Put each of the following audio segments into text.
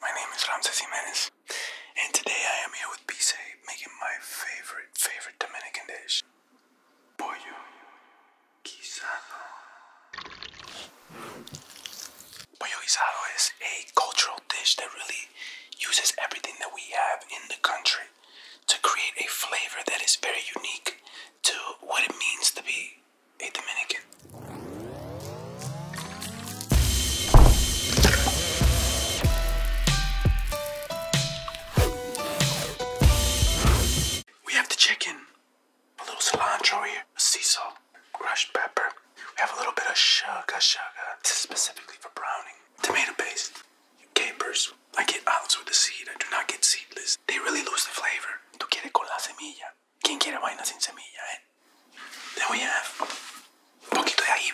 My name is Ramses Jimenez, and today I am here with Pise making my favorite, favorite Dominican dish pollo guisado. Pollo guisado is a cultural dish that really uses everything that we have in the country to create a flavor that is very unique to what it means to be a Dominican. We have the chicken, a little cilantro here, sea salt, crushed pepper. We have a little bit of sugar, sugar. specifically for browning. Tomato paste, capers. I get olives with the seed. I do not get seedless. They really lose the flavor. Tu quieres con la semilla. ¿Quién quiere vaina sin semilla, eh? Then we have un poquito de eh. ají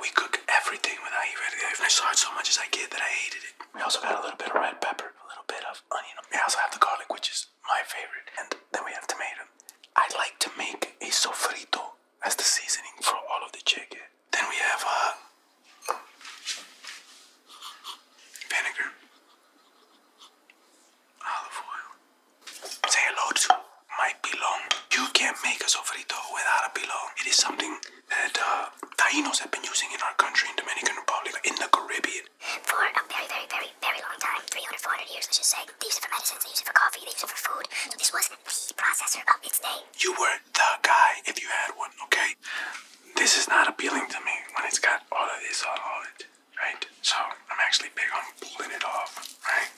we cook everything with ají verde. I saw it so much as I did that I hated it. We also got a little bit of red pepper, a little bit of onion. We also have the garlic, which is my favorite. And then we have tomato. I like to make a sofrito as the seasoning for all of the chicken. Then we have uh, vinegar, olive oil. Say hello to my pilon. You can't make a sofrito without a pilon. It is something that uh, Tainos have been using in our country, in Dominican Republic, in the Caribbean. For a very, very, very, very long time, 300, 400 years, let's just say. They use it for medicines, they use it for coffee, they use it for food. So this was the processor of its day. You were the guy if you had one, okay? This is not appealing to me when it's got all of this on all of it, right? So I'm actually big on pulling it off, right?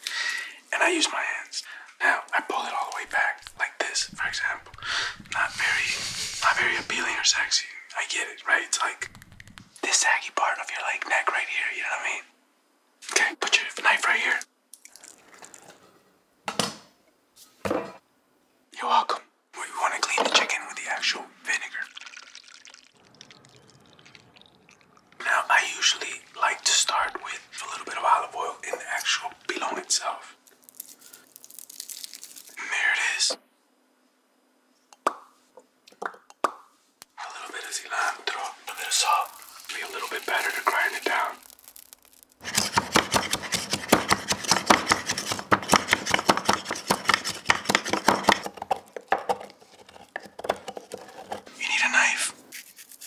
And I use my hands. Now I pull it all the way back, like this, for example. Not very not very appealing or sexy. I get it, right? It's like this saggy part of your like neck right here, you know what I mean? Okay, put your knife right here. You're welcome. We want to clean the chicken with the actual vinegar. Now, I usually like to start with a little bit of olive oil in the actual pilon itself. And there it is. A little bit of cilantro, a little salt, be a little bit better to grind it down. You need a knife.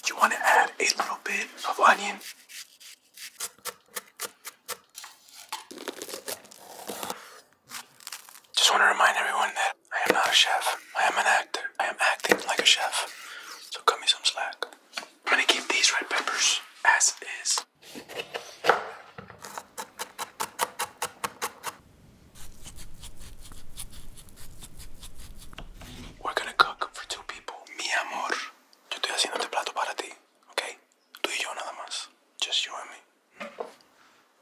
You want to add a little bit of onion. Just want to remind everyone that I am not a chef. I am an actor. I am acting like a chef, so cut me some slack. I'm gonna keep these red peppers as is. We're gonna cook for two people. Mi amor, yo estoy haciendo este plato para ti, okay? Tú y yo nada más. Just you and me.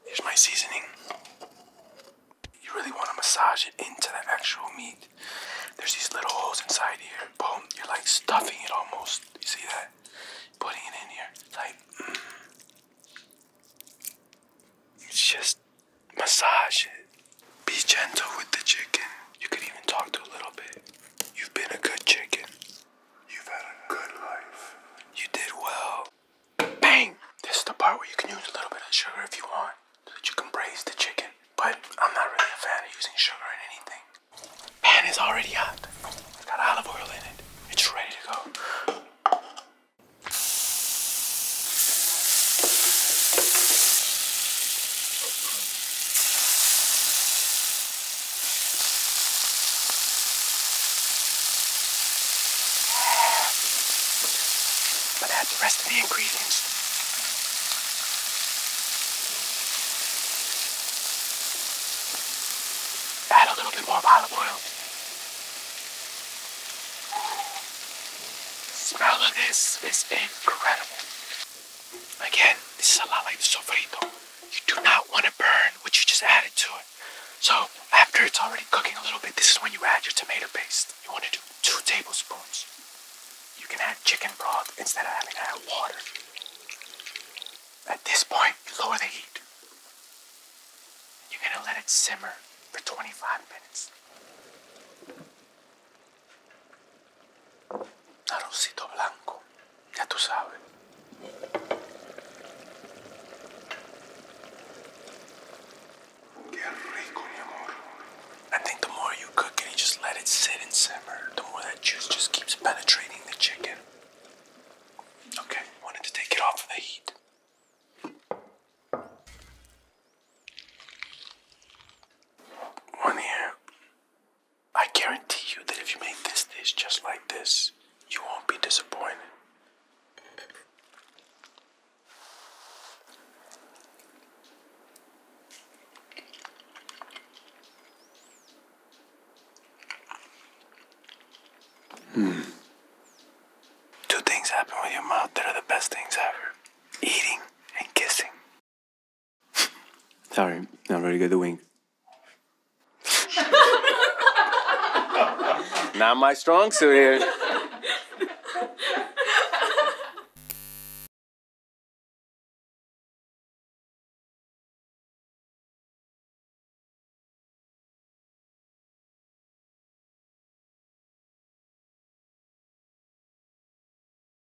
Here's my seasoning. You really want to massage it into the actual meat. There's these little holes inside here. Boom, you're like stuffing it almost. You see that? Putting it in here. It's like, mm. it's just massage it. Be gentle with the chicken. You can even talk to a little bit. You've been a good chicken. You've had a good life. You did well. Bang! This is the part where you can use a little bit of sugar if you want, so that you can braise the chicken. But I'm not really a fan of using sugar in anything. Pan is already hot. It's got olive oil in it. It's ready to go. But add the rest of the ingredients. Add a little bit more olive oil. The smell of this is incredible. Again, this is a lot like sofrito. You do not want to burn what you just added to it. So after it's already cooking a little bit, this is when you add your tomato paste. You want to do two tablespoons. You can add chicken broth instead of having to add water. At this point, you lower the heat. You're gonna let it simmer for 25 minutes. Arrocito blanco. Ya tú sabes. I think the more you cook it just let it sit and simmer, the more that juice just keeps penetrating the chicken. Okay, wanted to take it off the heat. One here. I guarantee you that if you make this dish just like this, you won't be disappointed. Hmm. Two things happen with your mouth that are the best things ever eating and kissing. Sorry, not very good at wing. not my strong suit here.